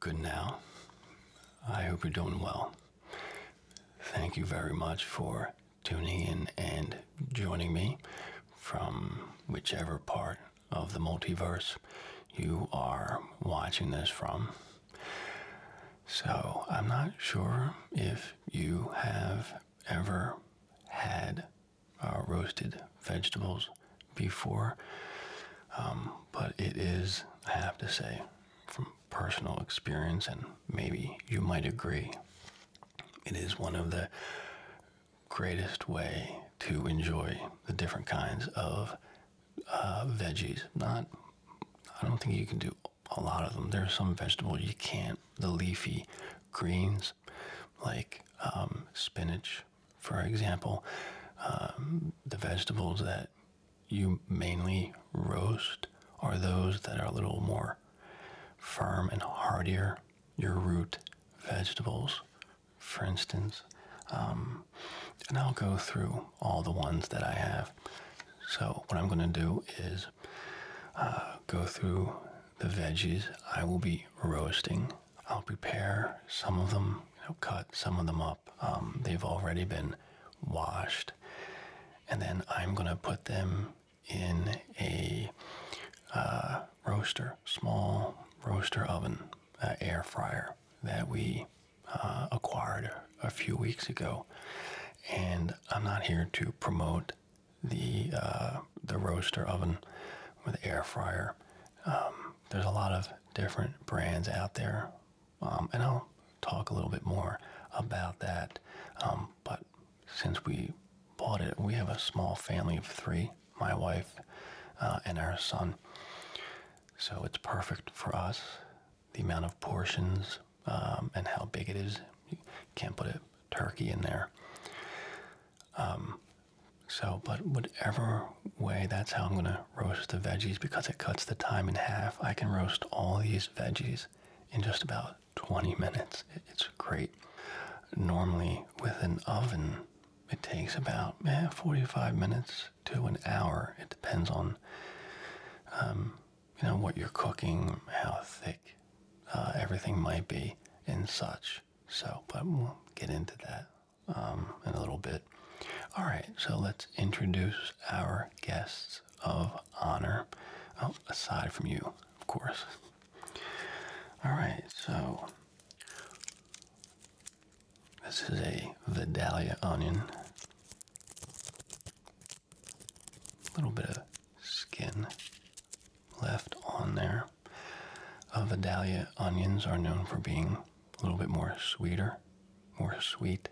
Good now. I hope you're doing well. Thank you very much for tuning in and joining me from whichever part of the multiverse you are watching this from. So, I'm not sure if you have ever had uh, roasted vegetables before, um, but it is, I have to say, from personal experience, and maybe you might agree, it is one of the greatest way to enjoy the different kinds of uh, veggies. Not, I don't think you can do a lot of them. There are some vegetables you can't. The leafy greens, like um, spinach, for example, um, the vegetables that you mainly roast are those that are a little more firm and hardier, your root vegetables, for instance. Um, and I'll go through all the ones that I have. So, what I'm going to do is uh, go through the veggies I will be roasting I'll prepare some of them, cut some of them up. Um, they've already been washed, and then I'm gonna put them in a uh, roaster, small roaster oven, uh, air fryer that we uh, acquired a few weeks ago. And I'm not here to promote the uh, the roaster oven or the air fryer. Um, there's a lot of different brands out there, um, and I'll talk a little bit more about that. Um, but since we bought it, we have a small family of three my wife uh, and our son. So it's perfect for us. The amount of portions um, and how big it is. You can't put a turkey in there. So, but whatever way, that's how I'm gonna roast the veggies because it cuts the time in half. I can roast all these veggies in just about 20 minutes. It's great. Normally, with an oven, it takes about eh, 45 minutes to an hour. It depends on, um, you know, what you're cooking, how thick uh, everything might be, and such. So, but we'll get into that. Um, in a little bit. All right, so let's introduce our guests of honor. Oh, aside from you, of course. All right, so this is a Vidalia onion. A little bit of skin left on there. Uh, Vidalia onions are known for being a little bit more sweeter, more sweet,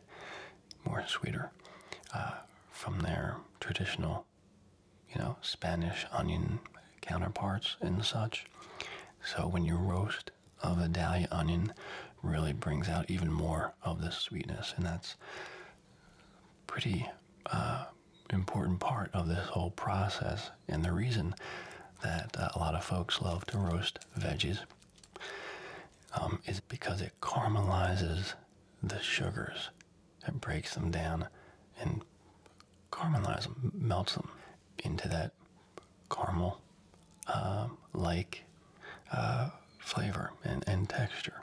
more sweeter uh, from their traditional, you know, Spanish onion counterparts and such. So when you roast a Vidalia onion, really brings out even more of the sweetness, and that's pretty uh, important part of this whole process. And the reason that uh, a lot of folks love to roast veggies um, is because it caramelizes the sugars. It breaks them down and caramelizes them, melts them into that caramel-like um, uh, flavor and texture.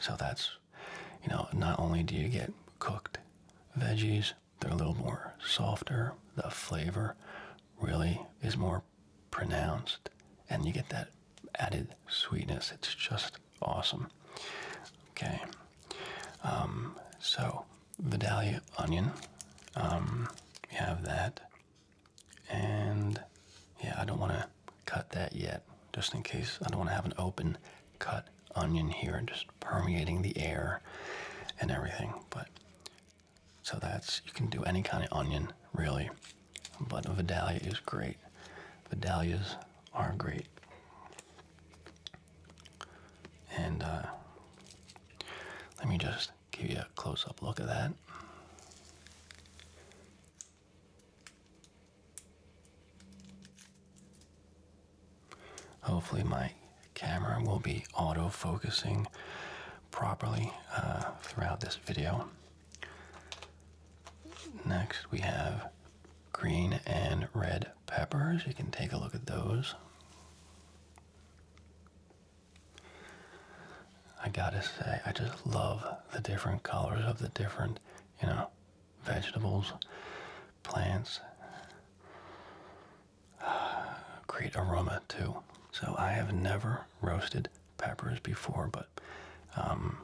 So that's, you know, not only do you get cooked veggies, they're a little more softer. The flavor really is more pronounced, and you get that added sweetness. It's just awesome. Okay, um, so Vidalia onion, we um, have that, and yeah, I don't want to cut that yet, just in case. I don't want to have an open cut onion here and just permeating the air and everything, but so that's, you can do any kind of onion, really. But a Vidalia is great. Vidalias are great. And uh, let me just give you a close up look at that. Hopefully, my camera will be auto focusing properly uh, throughout this video. Next, we have green and red peppers. You can take a look at those. I gotta say, I just love the different colors of the different, you know, vegetables, plants create aroma too. So I have never roasted peppers before, but um,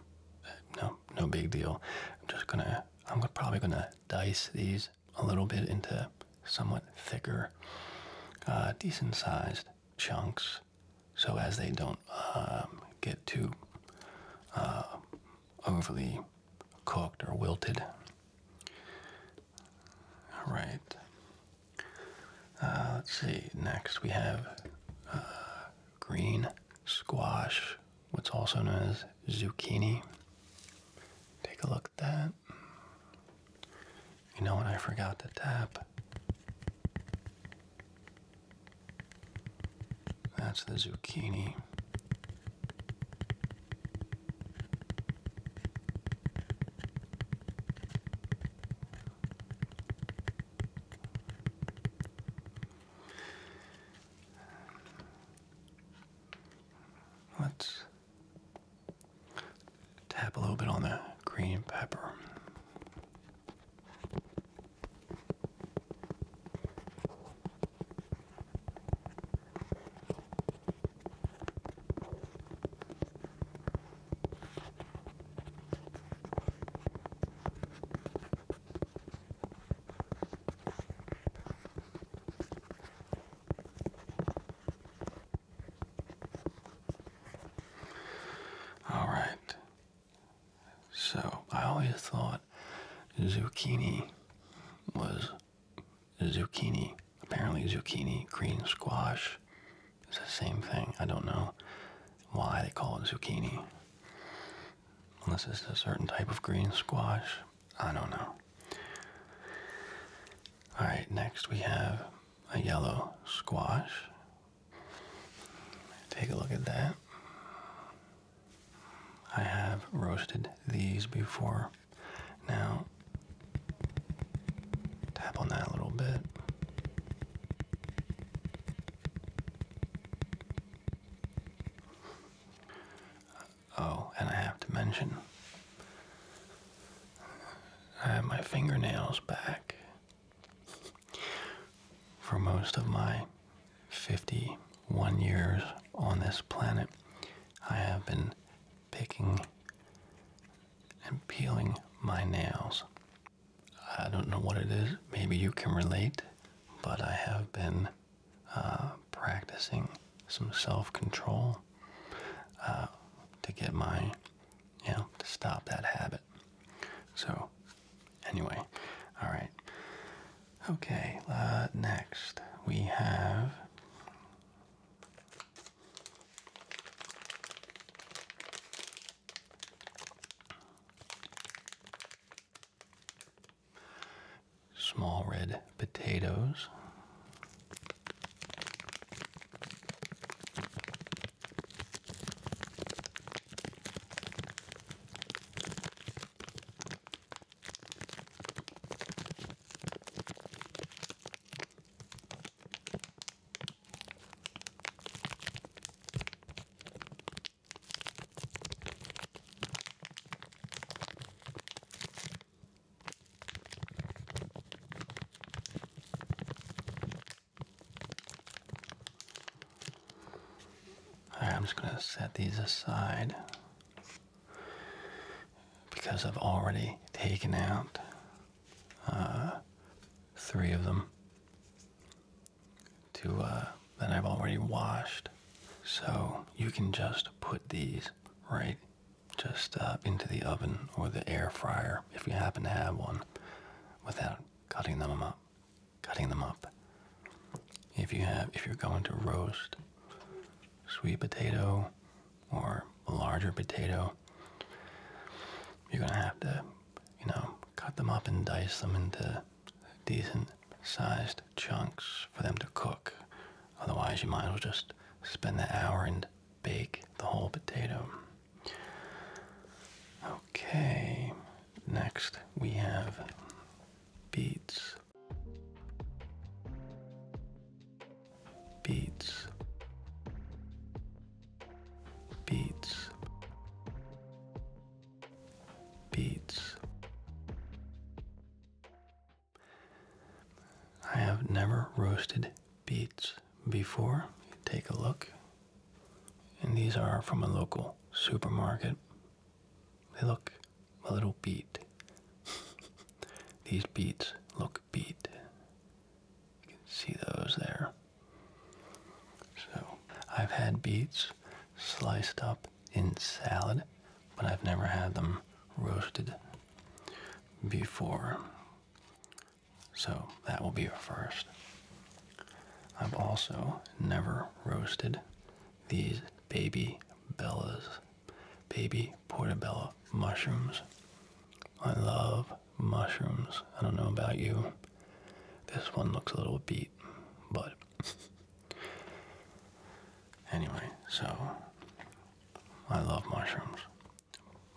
no, no big deal. I'm just gonna, I'm probably gonna dice these a little bit into somewhat thicker, uh, decent-sized chunks, so as they don't um, get too uh, overly cooked or wilted. All right. Uh, let's see. Next, we have uh, green squash, what's also known as zucchini. Take a look at that. You know what? I forgot to tap. That's the zucchini. Let's tap a little bit on the green pepper. All right. So I always thought zucchini was zucchini. Apparently, zucchini, green squash is the same thing. I don't know why they call it zucchini. Unless it's a certain type of green squash. I don't know. Alright, next we have a yellow squash. Take a look at that. I have roasted these before. Now, tap on that a little bit. Oh, and I have to mention, I have my fingernails back for most of my 51 years on this planet. I have been picking and peeling my nails. I don't know what it is, maybe you can relate, but I have been uh, practicing some self control uh, to get my, you know, to stop that habit. So, anyway, all right. Okay, uh, next we have Small red potatoes right, I'm just going to set these aside because I've already taken out uh, three of them to uh, that I've already washed. So you can just put these right just uh, into the oven or the air fryer if you happen to have one without cutting them up. Cutting them up. If you have, if you're going to roast sweet potato or a larger potato, you're going to have to, you know, cut them up and dice them into decent sized chunks for them to cook. Otherwise, you might as well just spend the hour and bake the whole potato. Okay, next we have beets. Beets, beats beats I have never roasted beets before take a look and these are from a local supermarket they look a little beat these beets look beat you can see those there. So I've had beets sliced up in salad, but I've never had them roasted before. So that will be a first. I've also never roasted these baby bellas, baby portobello mushrooms. I love mushrooms. I don't know about you. This one looks a little beat, but anyway, so I love mushrooms.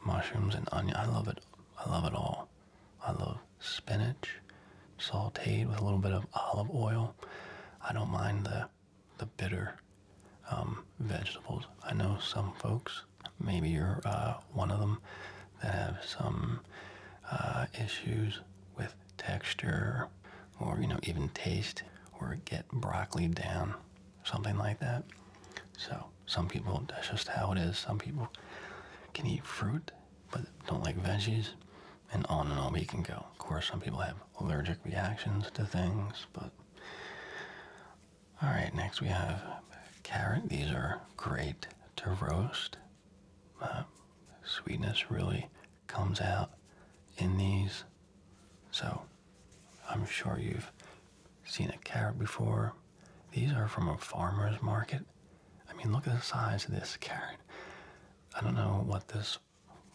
Mushrooms and onion. I love it. I love it all. I love spinach, sauteed with a little bit of olive oil. I don't mind the the bitter um, vegetables. I know some folks, maybe you're uh, one of them, that have some uh, issues with texture or, you know, even taste or get broccoli down, something like that. So some people, that's just how it is. Some people can eat fruit but don't like veggies and on and on we can go. Of course, some people have allergic reactions to things, but all right, next we have carrot. These are great to roast. Uh, sweetness really comes out in these. So I'm sure you've seen a carrot before. These are from a farmer's market. I mean, look at the size of this carrot. I don't know what this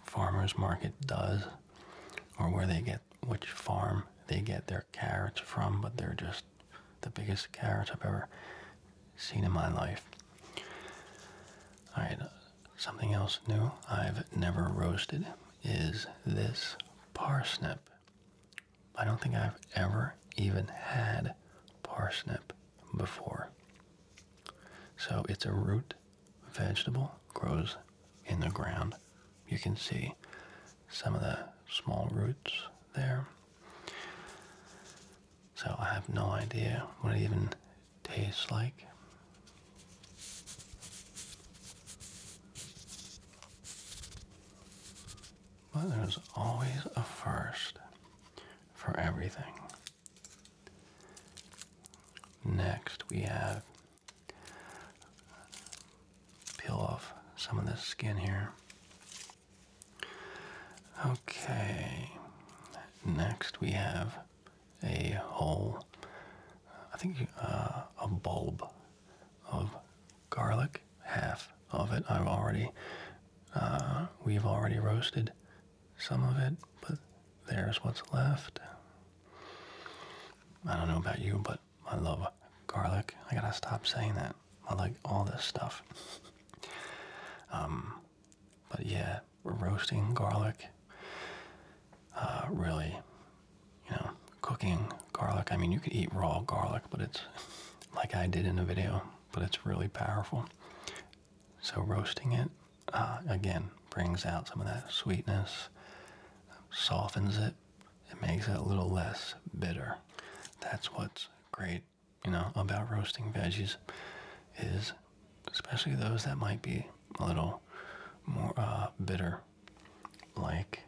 farmer's market does or where they get which farm they get their carrots from, but they're just the biggest carrots I've ever seen in my life. Alright, something else new I've never roasted is this parsnip. I don't think I've ever even had parsnip before. So it's a root vegetable, grows in the ground. You can see some of the small roots there. So I have no idea what it even tastes like. But there's always a first for everything. Next, we have peel off some of the skin here. Okay, next we have a whole, I think uh, a bulb of garlic. Half of it I've already, uh, we've already roasted some of it, but there's what's left. I don't know about you, but I love garlic. I gotta stop saying that. I like all this stuff. um, but yeah, roasting garlic. Uh, really, you know, cooking garlic. I mean, you can eat raw garlic, but it's like I did in the video. But it's really powerful. So roasting it uh, again brings out some of that sweetness, softens it. It makes it a little less bitter. That's what's great, you know, about roasting veggies is especially those that might be a little more uh, bitter, like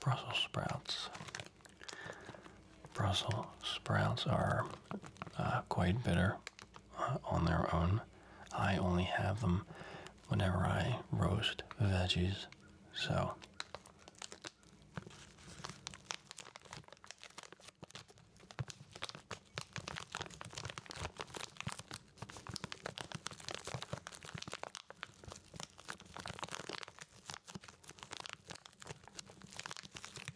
Brussels sprouts. Brussels sprouts are uh, quite bitter uh, on their own. I only have them whenever I roast veggies, so.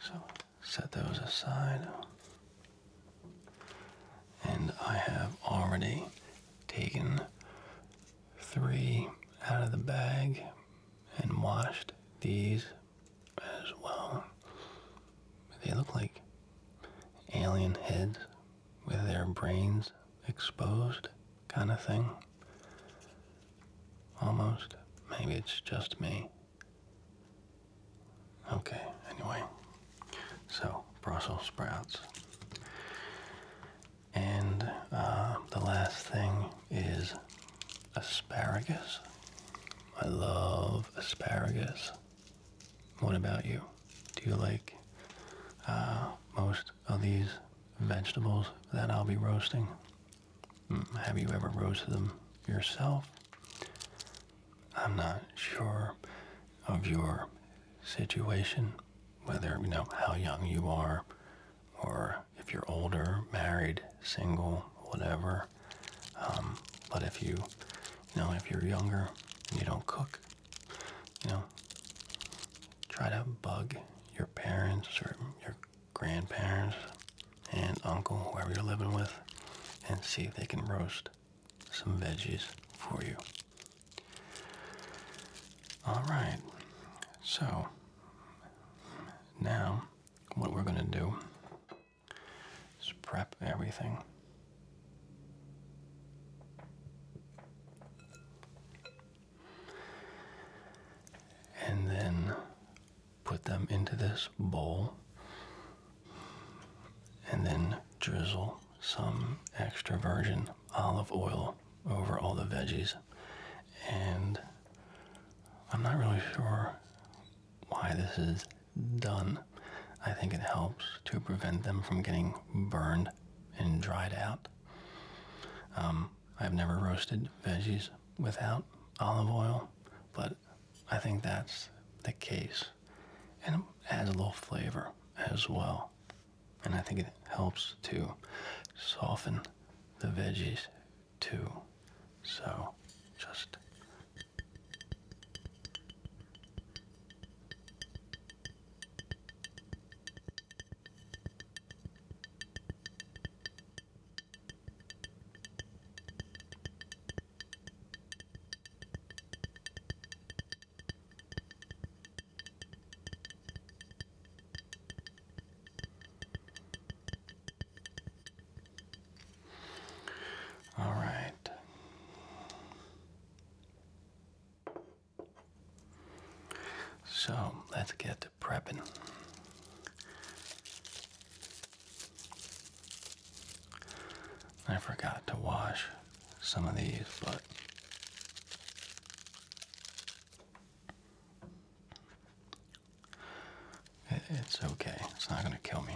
So set those aside. And I have already taken three out of the bag and washed these as well. They look like alien heads with their brains exposed, kind of thing. Almost. Maybe it's just me. Okay, anyway. So, Brussels sprouts. And uh, the last thing is asparagus. I love asparagus. What about you? Do you like uh, most of these vegetables that I'll be roasting? Hmm, have you ever roasted them yourself? I'm not sure of your situation, whether you know how young you are, or if you're older, married, single, whatever. Um, but if you, you know, if you're younger and you don't cook, you know, try to bug your parents or your grandparents and uncle, whoever you're living with, and see if they can roast some veggies for you. Alright, so now what we're going to do is prep everything. And then put them into this bowl and then drizzle some extra virgin olive oil over all the veggies. And I'm not really sure why this is done. I think it helps to prevent them from getting burned and dried out. Um, I've never roasted veggies without olive oil, but I think that's the case. And it adds a little flavor as well. And I think it helps to soften the veggies too. So just. All right. So let's get to prepping. I forgot to wash some of these, but it's okay. It's not going to kill me.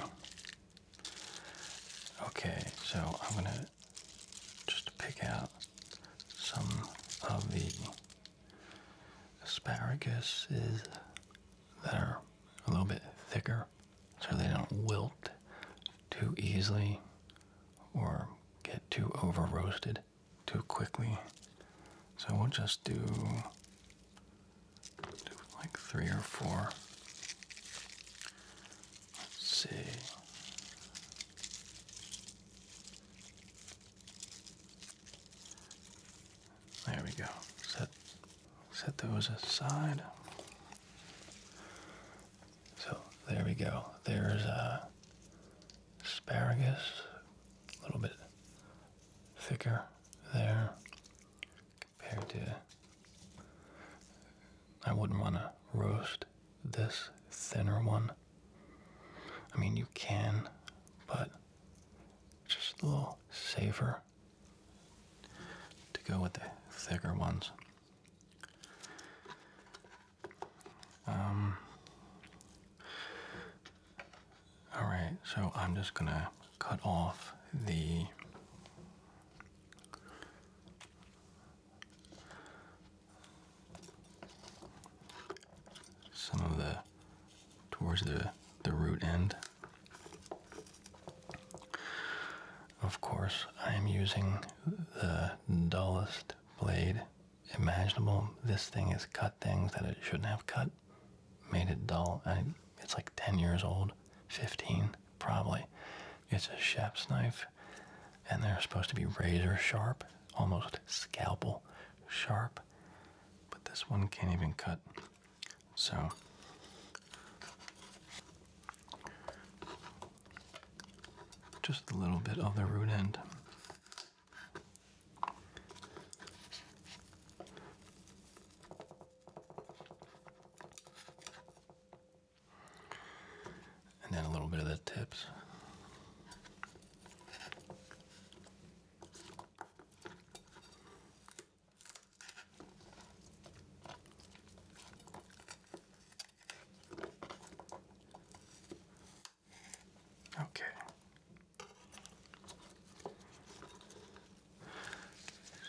Okay, so I'm going to just pick out some of the Asparagus is that are a little bit thicker so they don't wilt too easily or get too over roasted too quickly. So we'll just do, do like three or four. Let's see. There we go. Set set those aside. So there we go. There's uh, asparagus, a little bit thicker there compared to. I wouldn't want to roast this thinner one. I mean, you can, but just a little saver to go with the thicker ones. Um, all right, so I'm just gonna cut off the some of the towards the the root end. Of course, I am using the dullest blade imaginable. This thing has cut things that it shouldn't have cut, made it dull. I, it's like 10 years old, 15 probably. It's a chef's knife, and they're supposed to be razor sharp, almost scalpel sharp but this one can't even cut. So just a little bit of the root end. And then a little bit of the tips. Okay.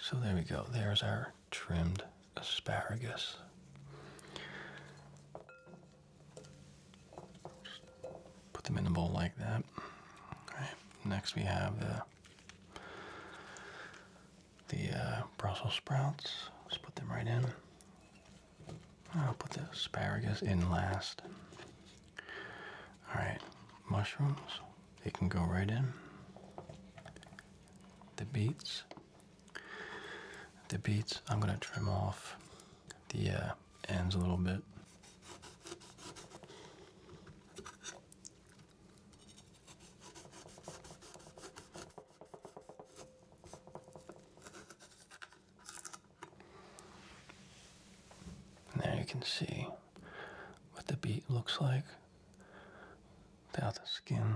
So there we go. There's our trimmed asparagus. Put them in a bowl like that. Next, we have the the uh, Brussels sprouts. Let's put them right in. I'll put the asparagus in last. All right, mushrooms. They can go right in. The beets. The beets. I'm gonna trim off the uh, ends a little bit. there you can see what the beat looks like without the skin.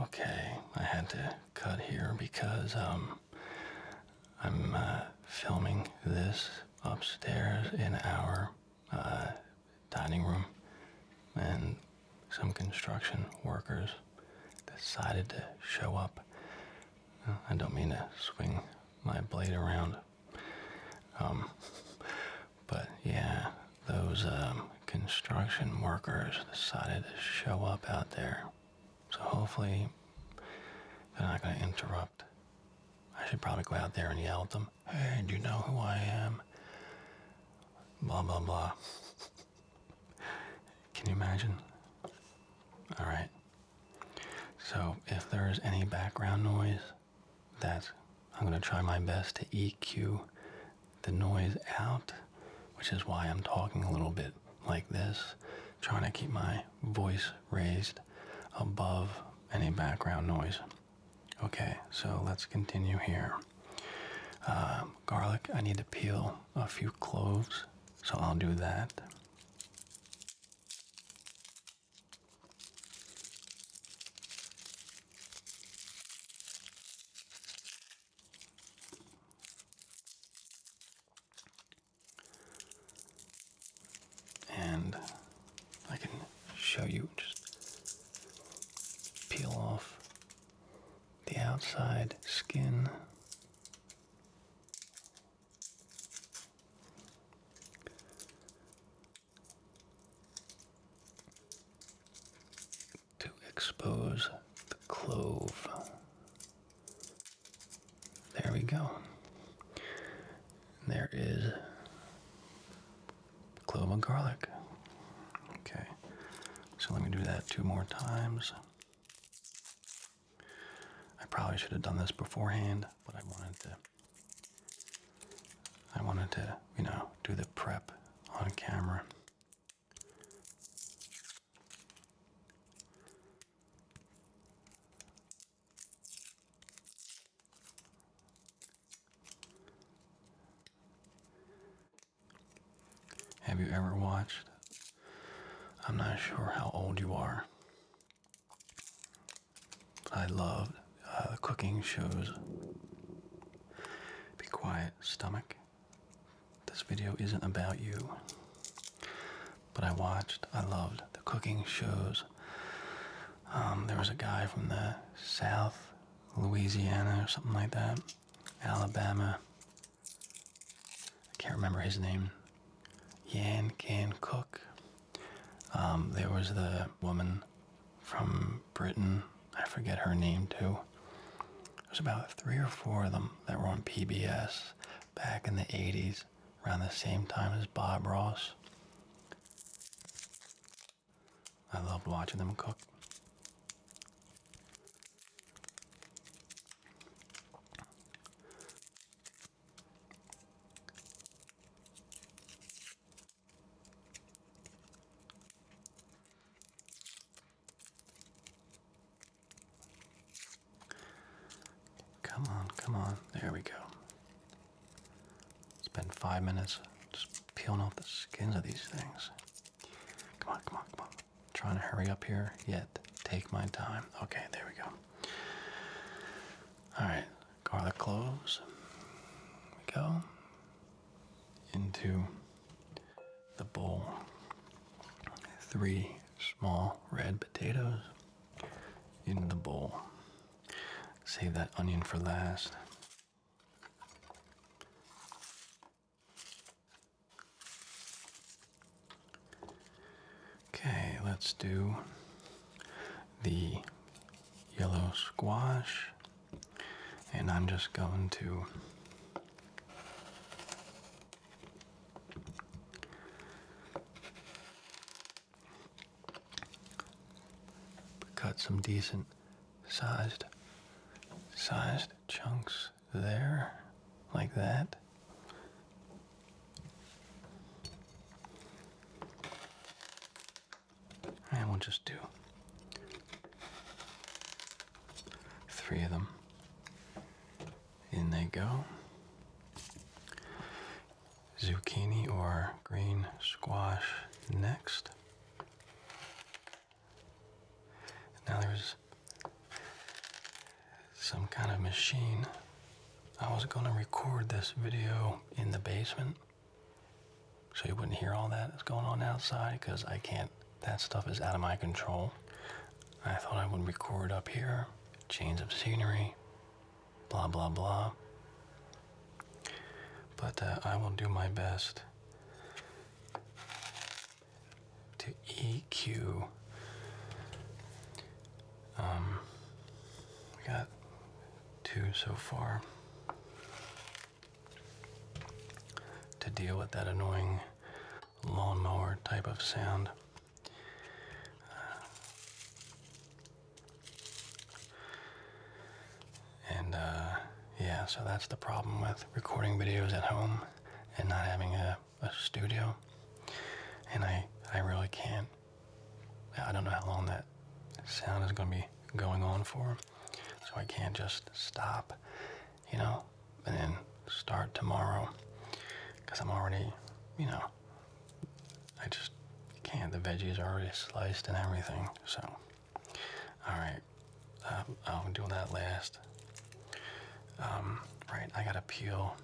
Okay, I had to cut here because um, I'm uh, filming this upstairs in our uh, dining room, and some construction workers decided to show up. I don't mean to swing my blade around. Um, but yeah, those um, construction workers decided to show up out there. So hopefully they're not going to interrupt. I should probably go out there and yell at them. Hey, do you know who I am? Blah, blah, blah. Can you imagine? All right. So if there's any background noise, that's I'm going to try my best to EQ the noise out, which is why I'm talking a little bit like this, trying to keep my voice raised above any background noise. Okay, so let's continue here. Um, garlic, I need to peel a few cloves, so I'll do that. And I can show you just peel off the outside skin to expose the clove. There we go. There is clove and garlic. Okay, so let me do that two more times. I probably should have done this beforehand, but I wanted to. I wanted to, you know, do the prep on camera. Have you ever watched? I'm not sure how old you are. I loved uh, cooking shows. Be quiet stomach. This video isn't about you. But I watched, I loved the cooking shows. Um, there was a guy from the South, Louisiana, or something like that, Alabama. I can't remember his name. Yan Can Cook. Um, there was the woman from Britain. I forget her name too. There's about three or four of them that were on PBS back in the 80s, around the same time as Bob Ross. I loved watching them cook. Come on, come on. There we go. It's been five minutes just peeling off the skins of these things. Come on, come on, come on. Trying to hurry up here, yet take my time. Okay, there we go. Alright, garlic cloves. we go into the bowl three small red potatoes in the bowl. Save that onion for last. Okay, let's do the yellow squash and I'm just going to cut some decent sized sized chunks there like that and we'll just do three of them. In they go. Zucchini or green squash next. Now there's some kind of machine. I was going to record this video in the basement, so you wouldn't hear all that that's going on outside because I can't, that stuff is out of my control. I thought I would record up here, change of scenery, blah, blah, blah. But uh, I will do my best to EQ. Um, we got two so far to deal with that annoying lawnmower type of sound. And uh, yeah, so that's the problem with recording videos at home and not having a, a studio. And I, I really can't. I don't know how long that sound is going to be going on for. So I can't just stop, you know, and then start tomorrow. Because I'm already, you know, I just can't. The veggies are already sliced and everything. So, alright. Uh, um, I'll do that last. Um, right, I gotta peel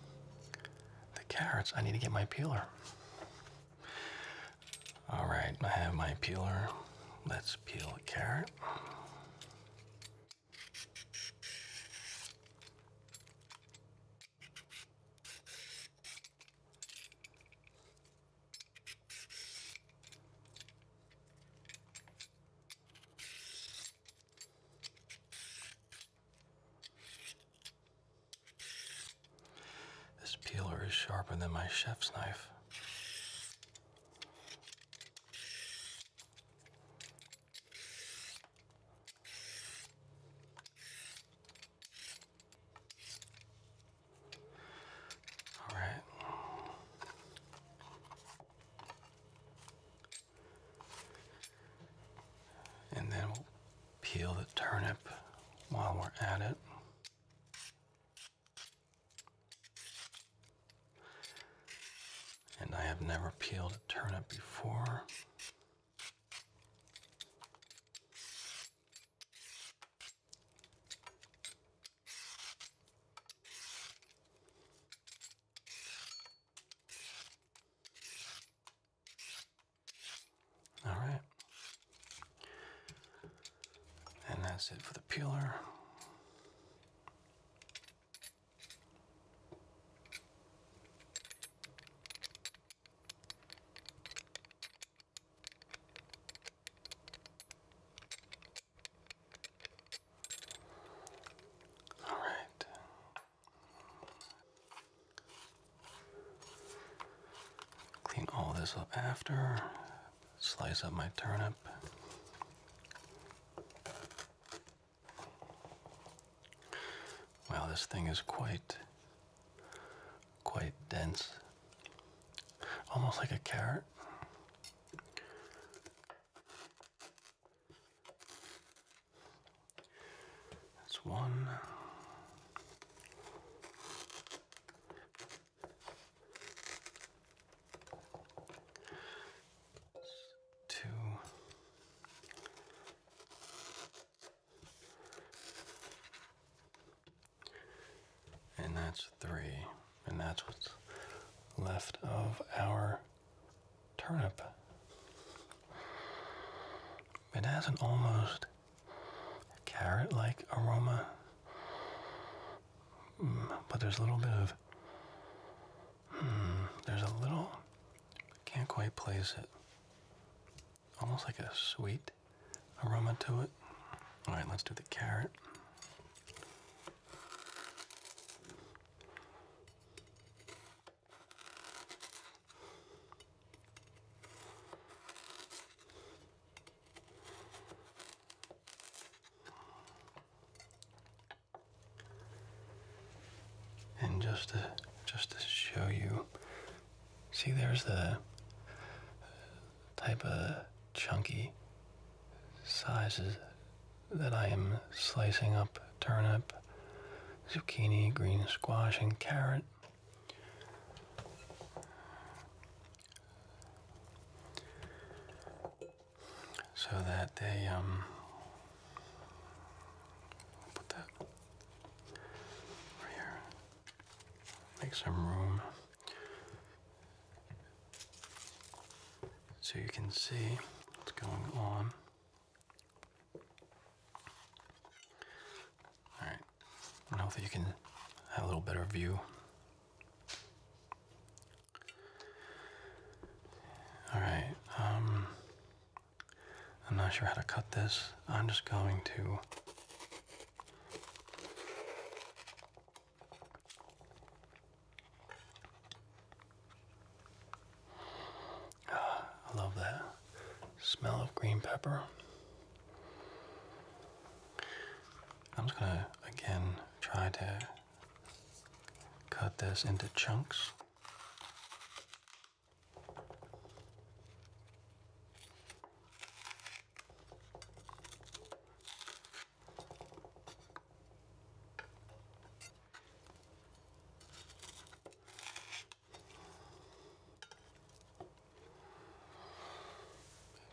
the carrots. I need to get my peeler. All right, I have my peeler. Let's peel a carrot. This peeler is sharper than my chef's knife. All right. And then we'll peel the turnip while we're at it. And I have never peeled a turnip before. All right, and that's it for the peeler. All right. Clean all this up after slice up my turnip. Wow, this thing is quite, quite dense. Almost like a carrot. That's one. Two. And that's three. And that's what's left of our turnip. It has an almost carrot like aroma Hmm, but there's a little bit of hmm, there's a little can't quite place it almost like a sweet aroma to it all right let's do the carrot and just to just to show you, see there's the type of chunky sizes that I am slicing up turnip, zucchini, green squash, and carrot so that they um, put that right here. Make some room so you can see what's going on. Alright, and hopefully you can have a little better view all right. Um, I'm not sure how to cut this. I'm just going to. Ah, I love that smell of green pepper. I'm just going to again try to cut this into chunks.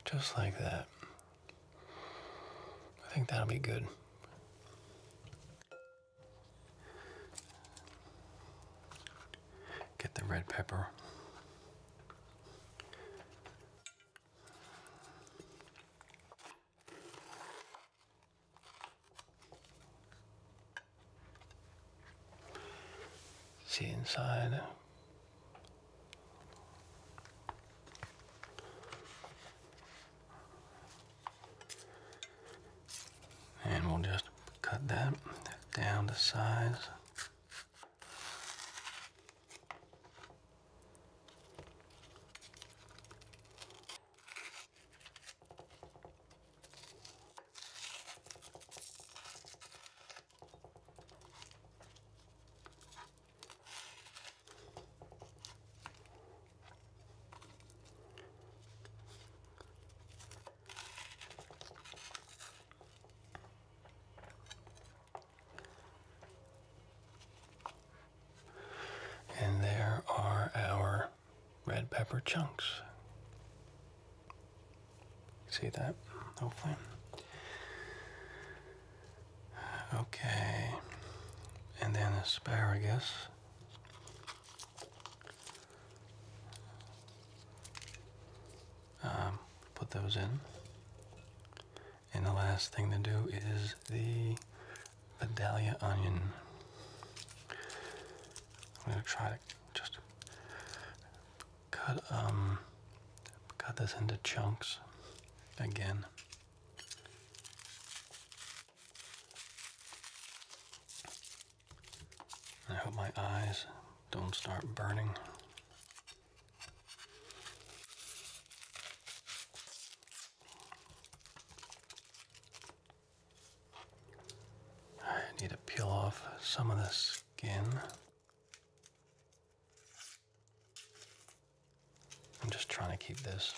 Just like that. I think that'll be good. Get the red pepper. See inside and we'll just cut that down to size. And there are our red pepper chunks. See that, hopefully. Okay, and then asparagus. Um, put those in. And the last thing to do is the Vidalia onion. I'm gonna try to just cut um cut this into chunks again. I hope my eyes don't start burning. I need to peel off some of the skin. I'm just trying to keep this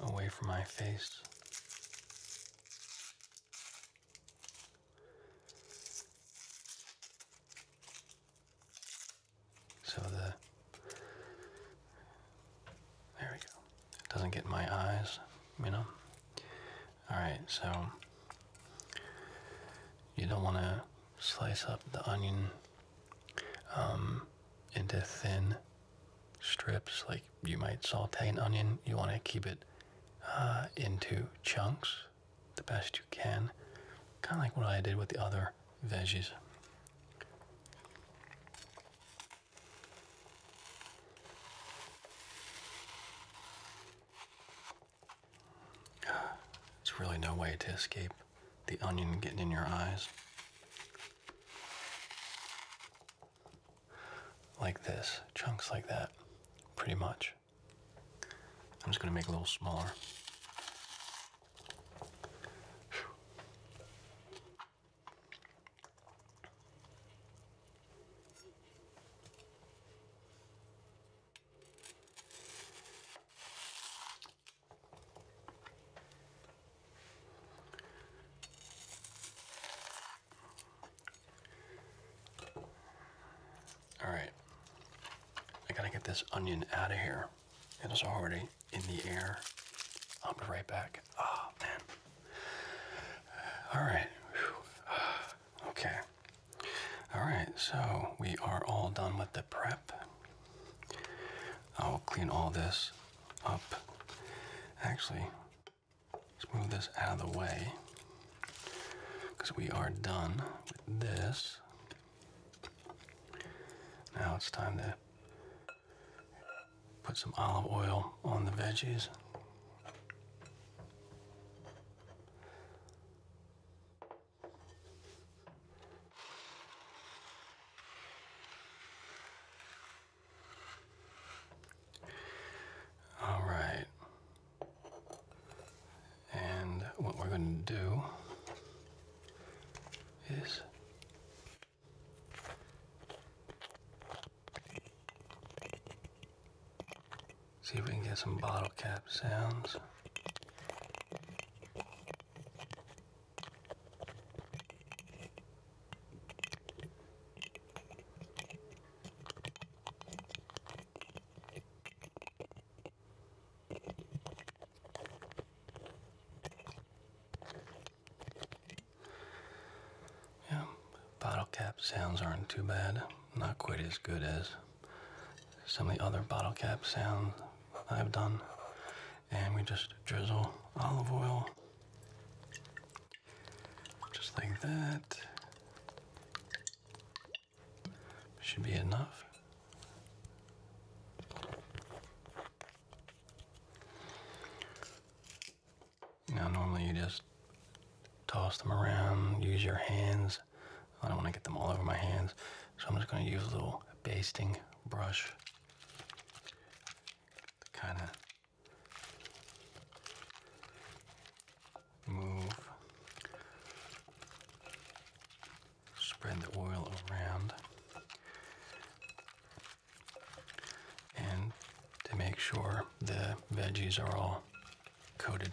away from my face. So the there we go. It doesn't get my eyes, you know. All right, so you don't want to slice up the onion um, into thin strips, like you might saute an onion. You want to keep it uh, into chunks the best you can, kind of like what I did with the other veggies. There's really no way to escape the onion getting in your eyes. Like this, chunks like that, pretty much. I'm just gonna make it a little smaller. All right, I gotta get this onion out of here. It is already in the air. I'll be right back. Ah, man. All right. Okay. All right, so we are all done with the prep. I'll clean all this up. Actually, let's move this out of the way because we are done with this. Now it's time to put some olive oil on the veggies. All right. And what we're going to do is See if we can get some bottle cap sounds. Yeah, bottle cap sounds aren't too bad. Not quite as good as some of the other bottle cap sounds I've done. And we just drizzle olive oil just like that. Should be enough. Now, normally you just toss them around, use your hands I don't want to get them all over my hands, so I'm just going to use a little basting brush to kind of move, spread the oil around, and to make sure the veggies are all coated.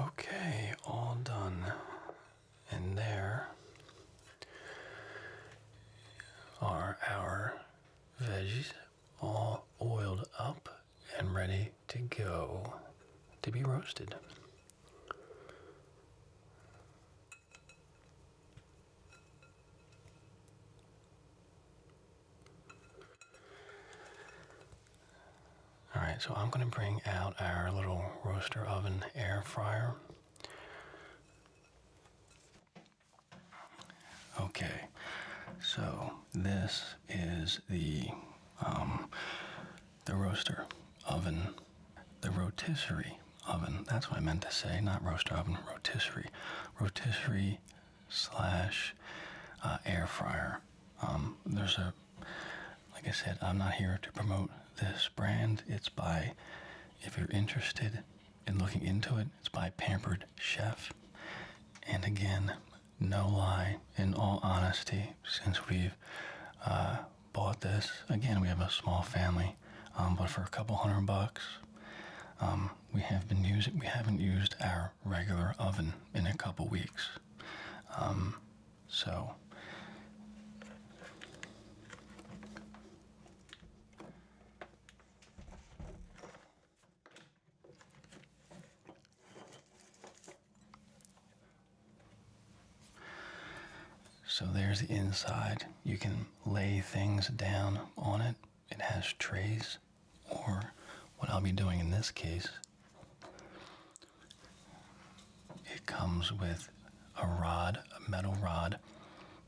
Okay, all done. And there are our veggies all oiled up and ready to go to be roasted. All right, so I'm going to bring out our little roaster oven air fryer. Okay, so this is the um, the roaster oven, the rotisserie oven. That's what I meant to say, not roaster oven, rotisserie rotisserie slash uh, air fryer. Um, there's a, like I said, I'm not here to promote this brand. It's by, if you're interested in looking into it, it's by Pampered Chef. And again, no lie, in all honesty, since we've uh, bought this, again, we have a small family, um, but for a couple hundred bucks, um, we have been using we haven't used our regular oven in a couple weeks. Um, so so there's the inside. You can lay things down on it it has trays, or what I'll be doing in this case, it comes with a rod, a metal rod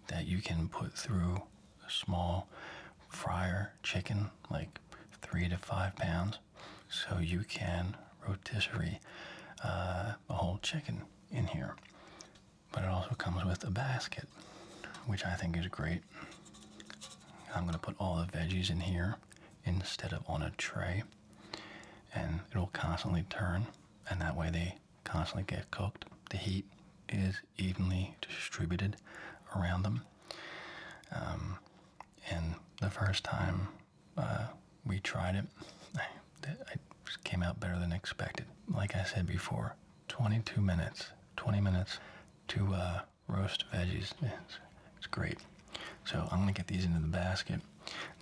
that you can put through a small fryer chicken, like three to five pounds, so you can rotisserie uh, a whole chicken in here. But it also comes with a basket, which I think is great. I'm going to put all the veggies in here instead of on a tray, and it'll constantly turn, and that way they constantly get cooked. The heat is evenly distributed around them. Um, and the first time uh, we tried it, it came out better than expected. Like I said before, 22 minutes, 20 minutes to uh, roast veggies. It's, great. So I'm gonna get these into the basket.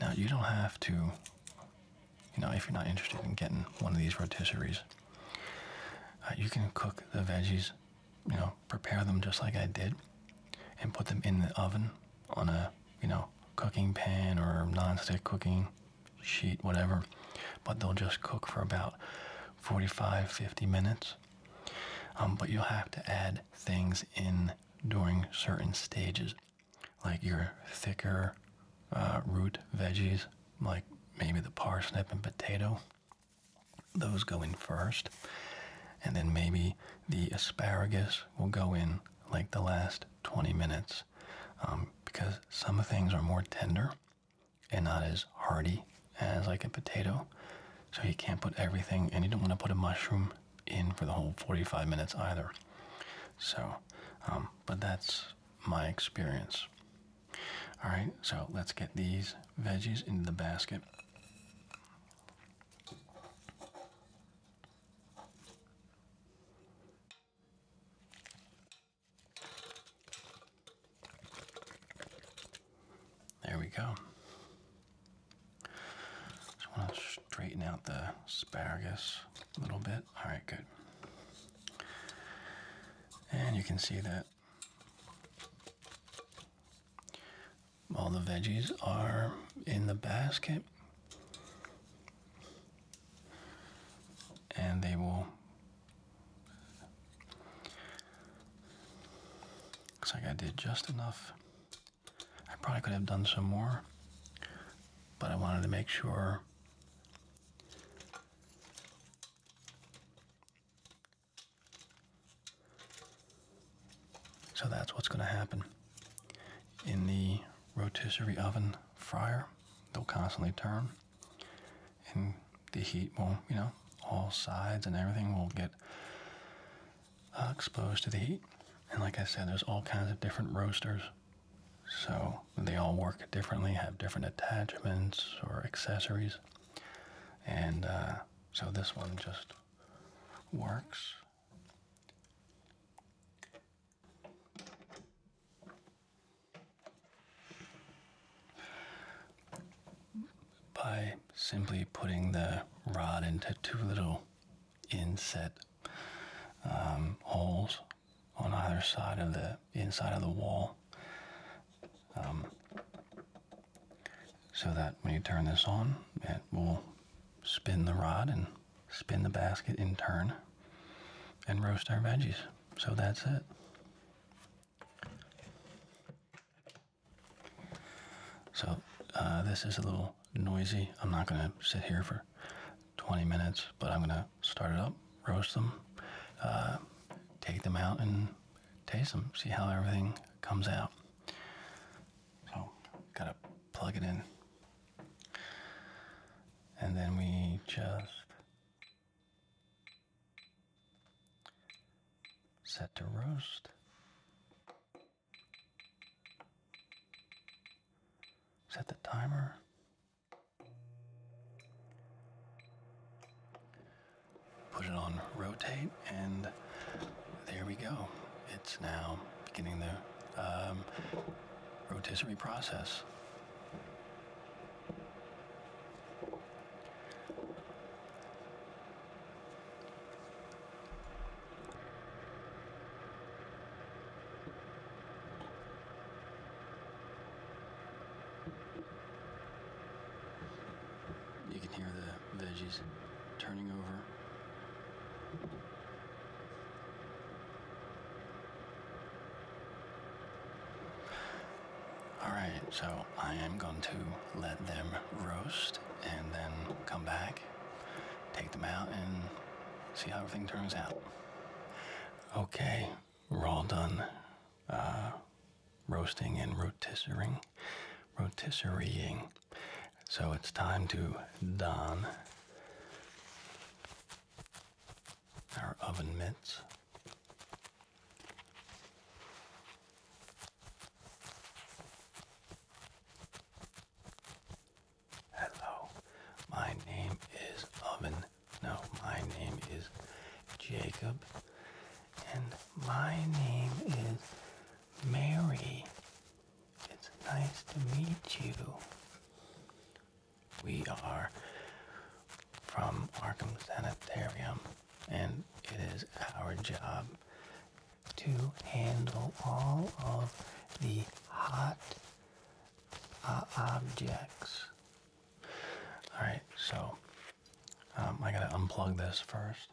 Now you don't have to, you know, if you're not interested in getting one of these rotisseries, uh, you can cook the veggies, you know, prepare them just like I did, and put them in the oven on a, you know, cooking pan or nonstick cooking sheet, whatever. But they'll just cook for about 45 50 minutes. Um, but you'll have to add things in during certain stages, like your thicker uh, root veggies, like maybe the parsnip and potato. Those go in first, and then maybe the asparagus will go in like the last 20 minutes um, because some things are more tender and not as hearty as like a potato. So you can't put everything, and you don't want to put a mushroom in for the whole 45 minutes either. So, um, but that's my experience. All right, so let's get these veggies into the basket. There we go. Just want to straighten out the asparagus a little bit. All right, good. And you can see that all the veggies are in the basket and they will Looks like I did just enough. I probably could have done some more, but I wanted to make sure so that's what's going to happen in the rotisserie oven fryer they'll constantly turn and the heat will, you know, all sides and everything will get uh, exposed to the heat. And like I said, there's all kinds of different roasters. So they all work differently, have different attachments or accessories. And uh, so this one just works by simply putting the rod into two little inset um, holes on either side of the inside of the wall um, so that when you turn this on it will spin the rod and spin the basket in turn and roast our veggies so that's it so, uh, this is a little noisy. I'm not going to sit here for 20 minutes, but I'm going to start it up, roast them, uh, take them out, and taste them, see how everything comes out. So, got to plug it in. And then we just Set to roast. Set the timer. Put it on rotate, and there we go. It's now beginning the um, rotisserie process. You can hear the veggies turning over. Alright, so I am going to let them roast and then come back, take them out, and see how everything turns out. Okay, we're all done uh, roasting and rotisserie, rotisserieing. So it's time to don our oven mitts. Hello, my name is Oven. No, my name is Jacob, and my name is Mary. It's nice to meet you. We are from Arkham Sanitarium, and it is our job to handle all of the hot uh, objects. Alright, so um, I gotta unplug this first.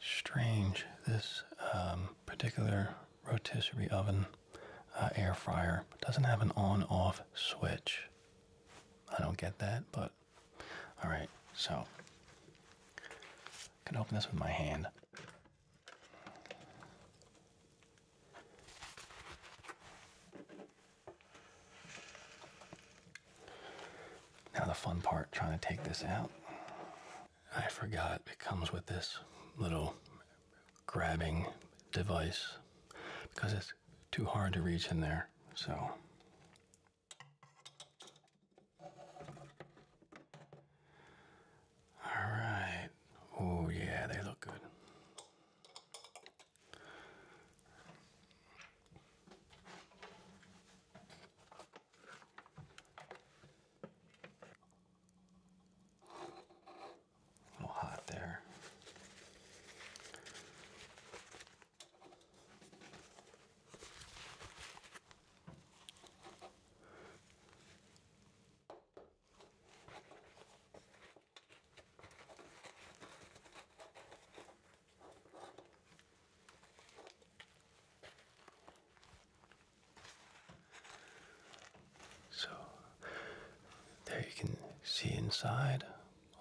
Strange, this um, particular rotisserie oven uh, air fryer. doesn't have an on-off switch. I don't get that, but all right. So I can open this with my hand. Now the fun part, trying to take this out. I forgot it comes with this little grabbing device because it's too hard to reach in there. So all right. Oh yeah, they look good. A little hot there. So there you can see inside.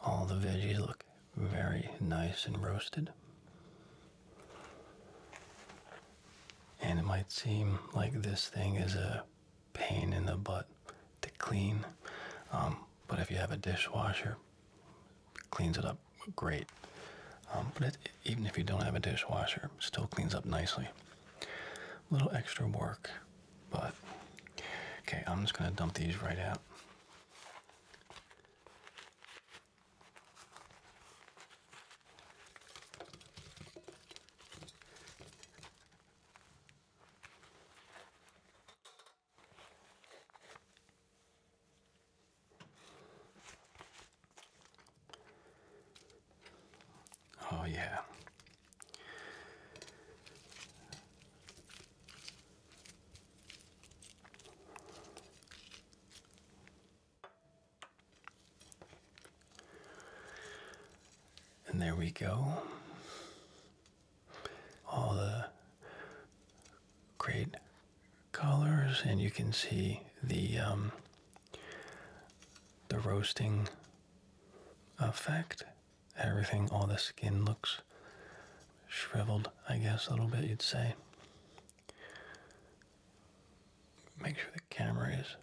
All the veggies look very nice and roasted. And it might seem like this thing is a pain in the butt to clean, um, but if you have a dishwasher, cleans it up great. Um, but even if you don't have a dishwasher, still cleans up nicely. A little extra work but okay, I'm just gonna dump these right out. Oh, yeah, and there we go. All the great colors, and you can see the um, the roasting effect everything, all the skin looks shriveled, I guess, a little bit, you'd say. Make sure the camera is.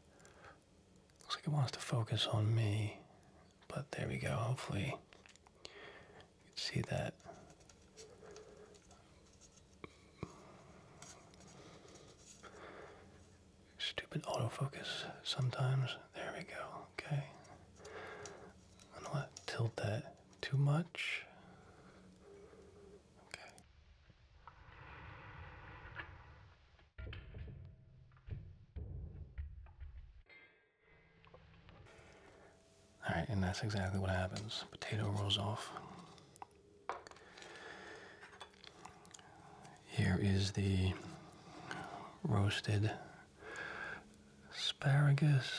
Looks like it wants to focus on me, but there we go. Hopefully, you can see that. Stupid autofocus sometimes. There we go. Okay. don't want tilt that too much. Okay. Alright, and that's exactly what happens. Potato rolls off. Here is the roasted asparagus,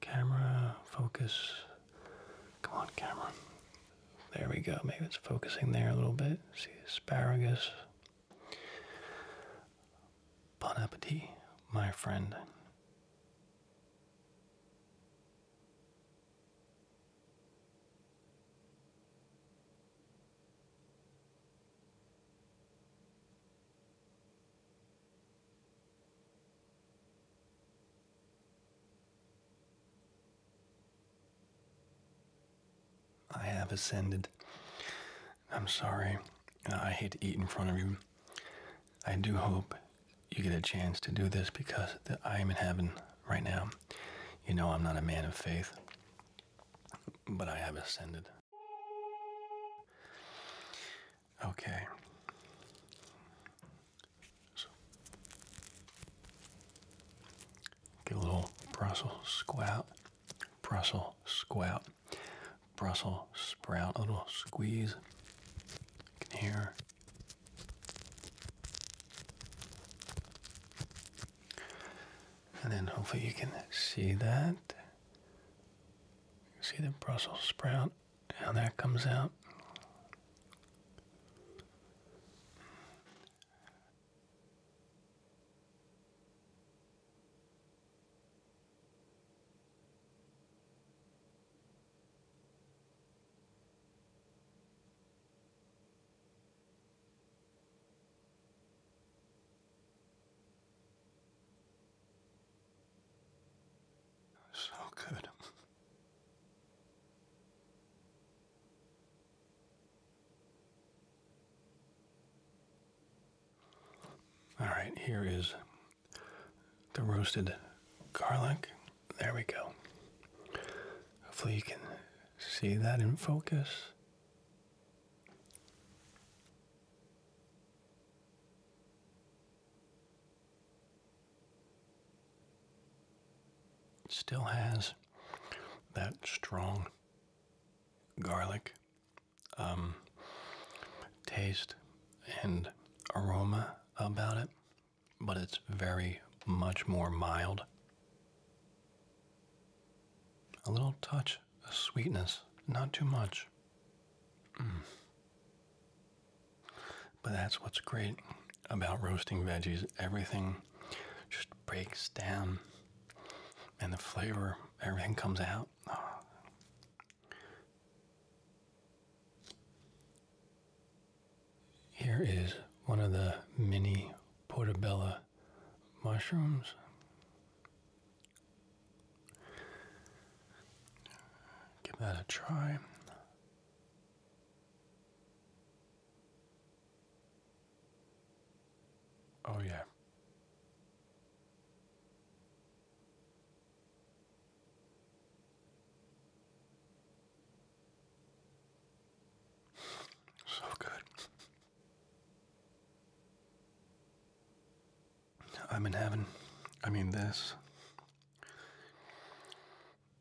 camera, focus. Come on, camera. There we go. Maybe it's focusing there a little bit. See asparagus. Bon appetit, my friend. I have ascended. I'm sorry. Uh, I hate to eat in front of you. I do hope you get a chance to do this because I am in heaven right now. You know, I'm not a man of faith, but I have ascended. Okay. So give a little Brussels squat, Brussels squat, Brussels sprout, a little squeeze. You can hear and then hopefully you can see that. See the Brussels sprout, how that comes out. So good. All right, here is the roasted garlic. There we go. Hopefully, you can see that in focus still has that strong garlic um, taste and aroma about it, but it's very much more mild. A little touch much sweetness, not too much. Mm. But that's what's great about roasting veggies. Everything just breaks down and the flavor, everything comes out. Ah. Here is one of the mini portobello mushrooms. Give that a try. Oh, yeah. So good. I'm in heaven. I mean, this.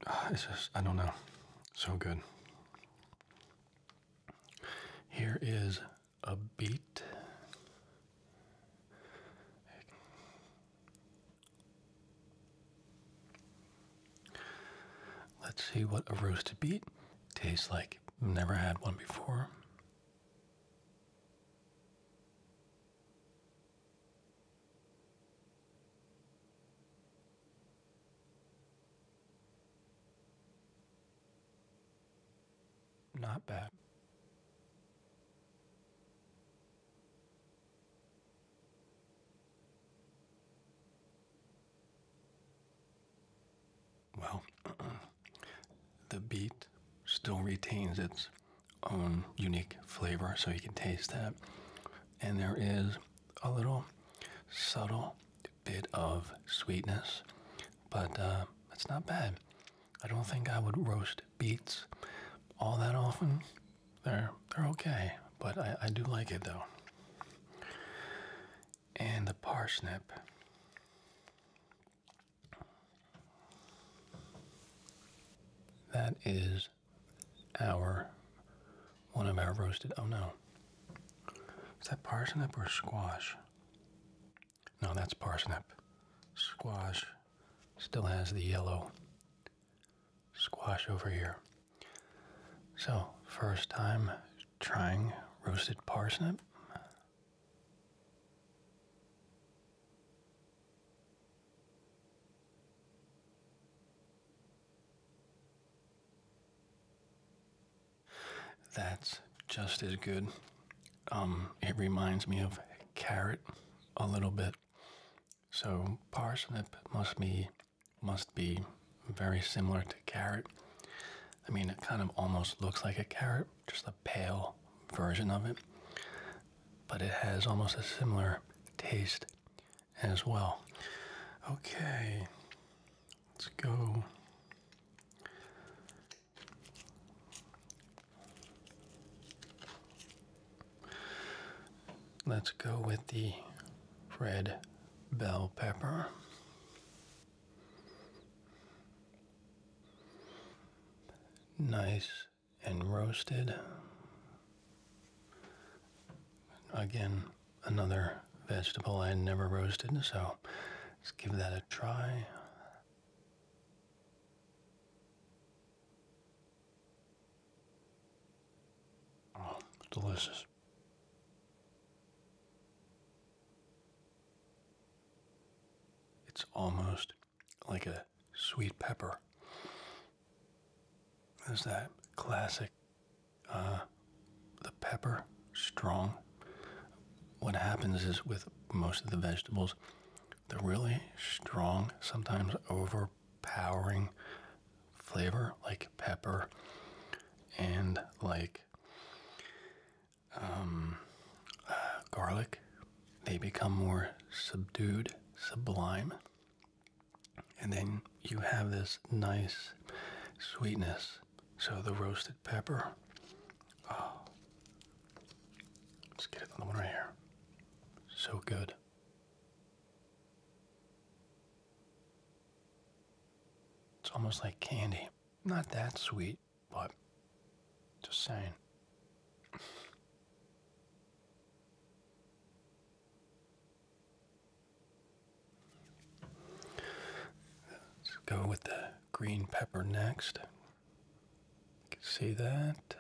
Ah, it's just, I don't know. So good. Here is a beet. Let's see what a roasted beet tastes like. Never had one before. Not bad. Well, the beet still retains its own unique flavor, so you can taste that. And there is a little subtle bit of sweetness, but uh, it's not bad. I don't think I would roast beets all that often. They're they're okay, but I do like it though. And the parsnip. That is our one of our roasted. Oh no. Is that parsnip or squash? No, that's parsnip. Squash still has the yellow squash over here. So, first time trying roasted parsnip. That's just as good. Um, it reminds me of carrot a little bit. So parsnip must be must be very similar to carrot. I mean, it kind of almost looks like a carrot, just a pale version of it, but it has almost a similar taste as well. Okay, let's go. Let's go with the red bell pepper nice and roasted. Again, another vegetable I never roasted, so let's give that a try. Oh, delicious. It's almost like a sweet pepper. There's that classic, uh, the pepper strong. What happens is with most of the vegetables, the really strong, sometimes overpowering flavor, like pepper and like um, uh, garlic, they become more subdued, sublime, and then you have this nice sweetness. So the roasted pepper. Oh, let's get it one right here. So good. It's almost like candy. Not that sweet but just saying. Let's go with the green pepper next. You can see that.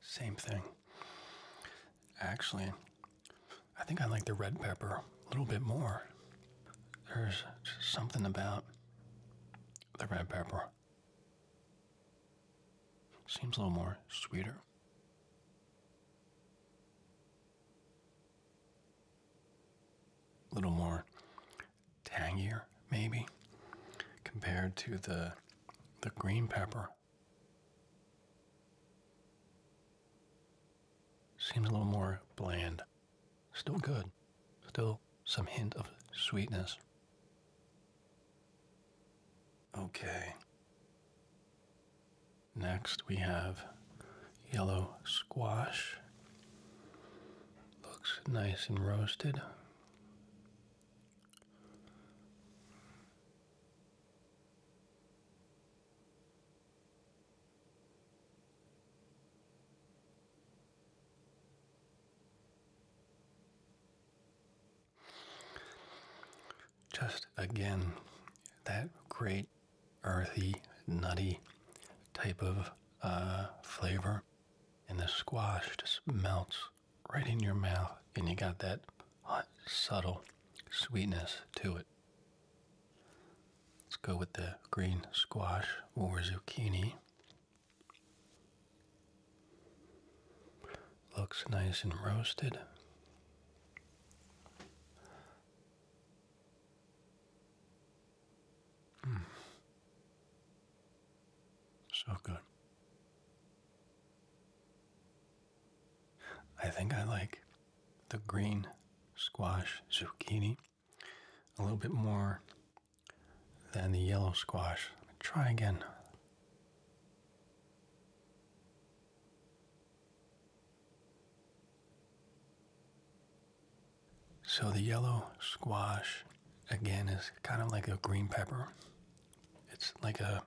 Same thing. Actually, I think I like the red pepper a little bit more. There's something about the red pepper. Seems a little more sweeter. A little more tangier maybe compared to the the green pepper. Seems a little more bland. Still good. Still some hint of sweetness. Okay. Next we have yellow squash. Looks nice and roasted. Just again, that great earthy, nutty type of uh, flavor and the squash just melts right in your mouth, and you got that subtle sweetness to it. Let's go with the green squash or zucchini. Looks nice and roasted. So good. I think I like the green squash zucchini a little bit more than the yellow squash. Try again. So the yellow squash again is kind of like a green pepper. It's like a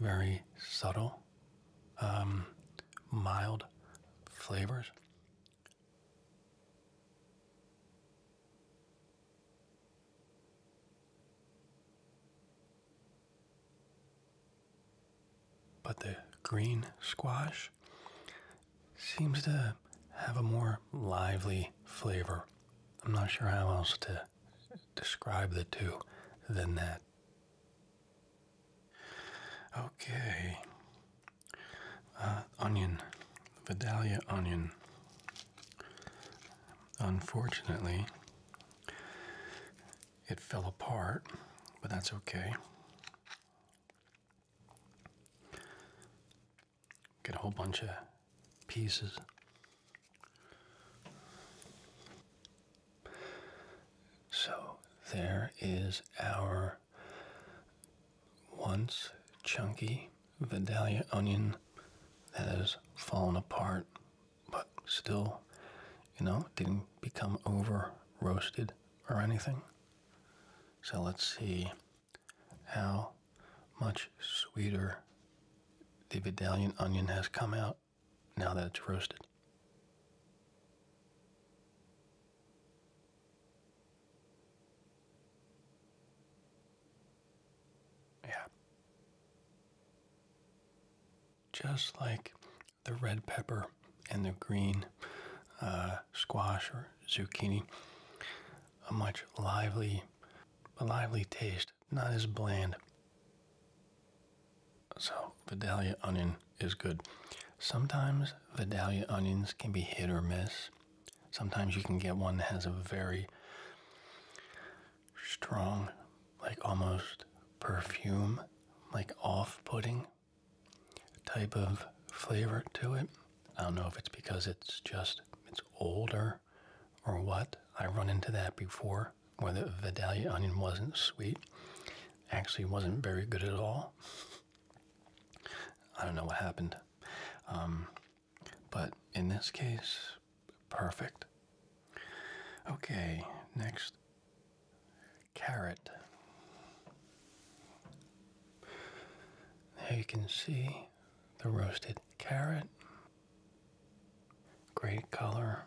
very subtle, um, mild flavors. But the green squash seems to have a more lively flavor. I'm not sure how else to describe the two than that. Okay. Uh, onion. Vidalia onion. Unfortunately, it fell apart, but that's okay. Get a whole bunch of pieces. So there is our once chunky Vidalia onion that has fallen apart, but still, you know, didn't become over roasted or anything. So let's see how much sweeter the Vidalian onion has come out now that it's roasted. Yeah. Just like the red pepper and the green uh, squash or zucchini. A much lively, a lively taste, not as bland. So Vidalia onion is good. Sometimes Vidalia onions can be hit or miss. Sometimes you can get one that has a very strong, like almost perfume, like off putting type of flavor to it. I don't know if it's because it's just it's older or what. I run into that before where the Vidalia onion wasn't sweet. Actually wasn't very good at all. I don't know what happened. Um, but in this case, perfect. Okay, next carrot. There you can see the roasted carrot. Great color.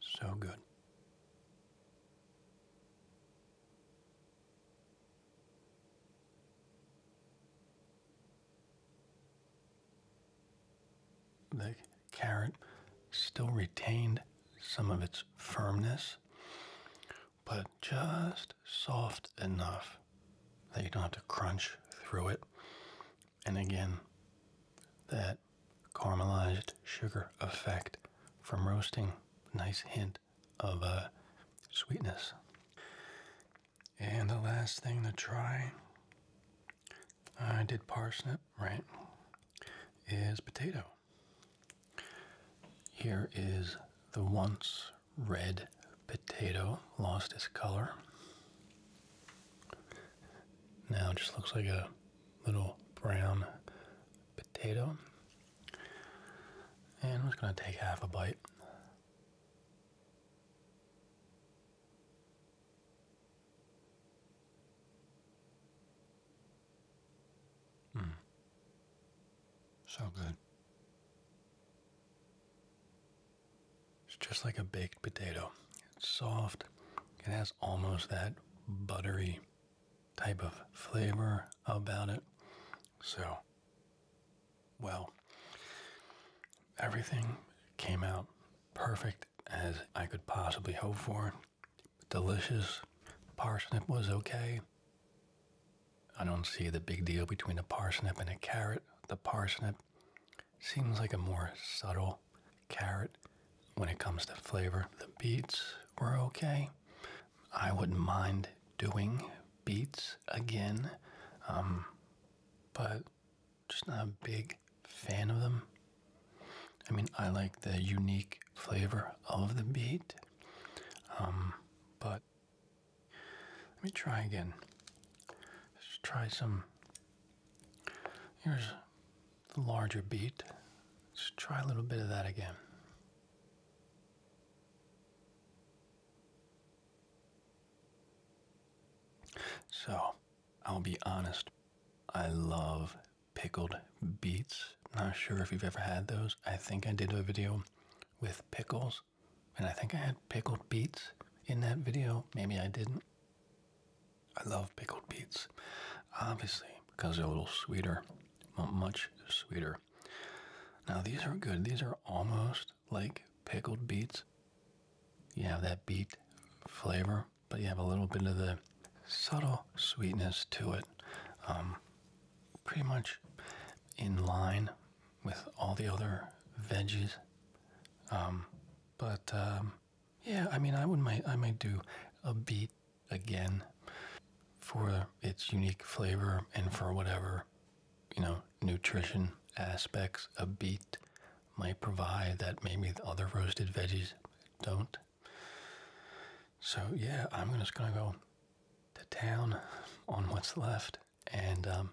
So good. The carrot still retained some of its firmness, but just soft enough that you don't have to crunch through it. And again, that caramelized sugar effect from roasting. Nice hint of uh, sweetness. And the last thing to try, I did parsnip, right, is potato. Here is the once red potato, lost its color. Now just looks like a little brown potato. And I'm just going to take half a bite. Mm. So good. It's just like a baked potato. It's soft. It has almost that buttery type of flavor about it. So, well, everything came out perfect as I could possibly hope for. Delicious. Parsnip was okay. I don't see the big deal between a parsnip and a carrot. The parsnip seems like a more subtle carrot when it comes to flavor. The beets were okay. I wouldn't mind doing beats again, um, but just not a big fan of them. I mean, I like the unique flavor of the beet, um, but let me try again. Let's try some. Here's the larger beet. Let's try a little bit of that again. So, I'll be honest, I love pickled beets. Not sure if you've ever had those. I think I did a video with pickles, and I think I had pickled beets in that video. Maybe I didn't. I love pickled beets, obviously, because they're a little sweeter, much sweeter now, these are good. These are almost like pickled beets. You have that beet flavor, but you have a little bit of the subtle sweetness to it. Um, pretty much in line with all the other veggies. Um, but um, yeah, I mean, I would might I might do a beet again for its unique flavor and for whatever you know, nutrition aspects a beet might provide that maybe other roasted veggies don't. So, yeah, I'm just going to go to town on what's left and um,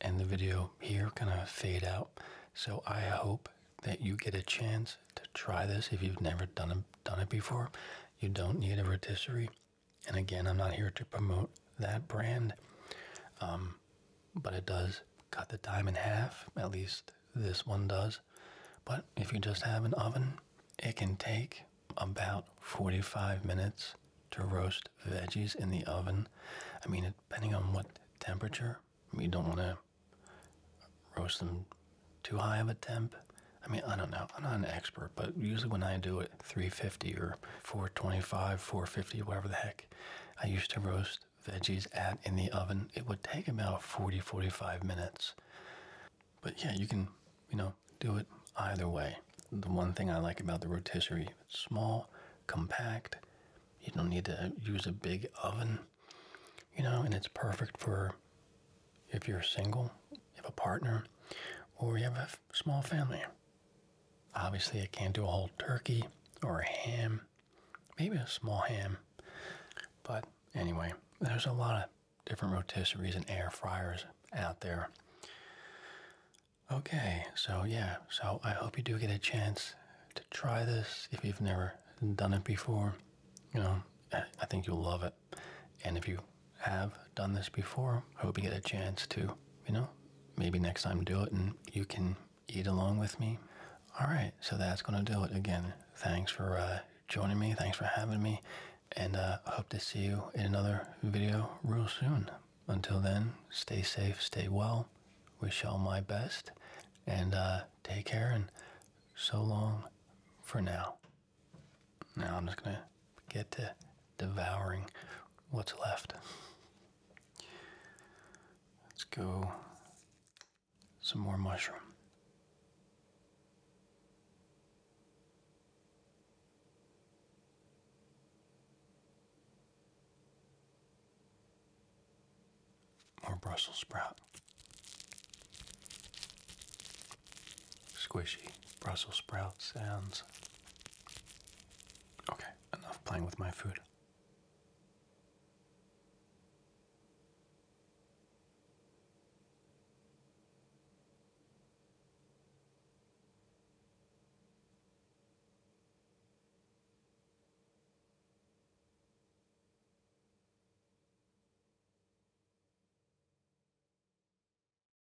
end the video here, kind of fade out. So, I hope that you get a chance to try this if you've never done done it before. You don't need a rotisserie. And again, I'm not here to promote that brand, um, but it does cut the time in half, at least this one does. But if you just have an oven, it can take about 45 minutes to roast veggies in the oven. I mean, depending on what temperature, you don't want to roast them too high of a temp. I mean, I don't know. I'm not an expert, but usually when I do it, 350 or 425, 450, whatever the heck. I used to roast veggies at in the oven. It would take about 40, 45 minutes. But yeah, you can, you know, do it either way. The one thing I like about the rotisserie, it's small, compact. You don't need to use a big oven, you know, and it's perfect for if you're single, you have a partner, or you have a small family. Obviously, I can't do a whole turkey or a ham, maybe a small ham. But anyway, there's a lot of different rotisseries and air fryers out there. Okay, so yeah, so I hope you do get a chance to try this if you've never done it before. You know, I think you'll love it. And if you have done this before, I hope you get a chance to, you know, maybe next time do it and you can eat along with me. All right, so that's going to do it again. Thanks for uh, joining me. Thanks for having me. And I uh, hope to see you in another video real soon. Until then, stay safe, stay well. Wish all my best. And uh, take care and so long for now. Now I'm just going to get to devouring what's left. Let's go some more mushroom. More Brussels sprout. Squishy Brussels sprout sounds. Okay, enough playing with my food.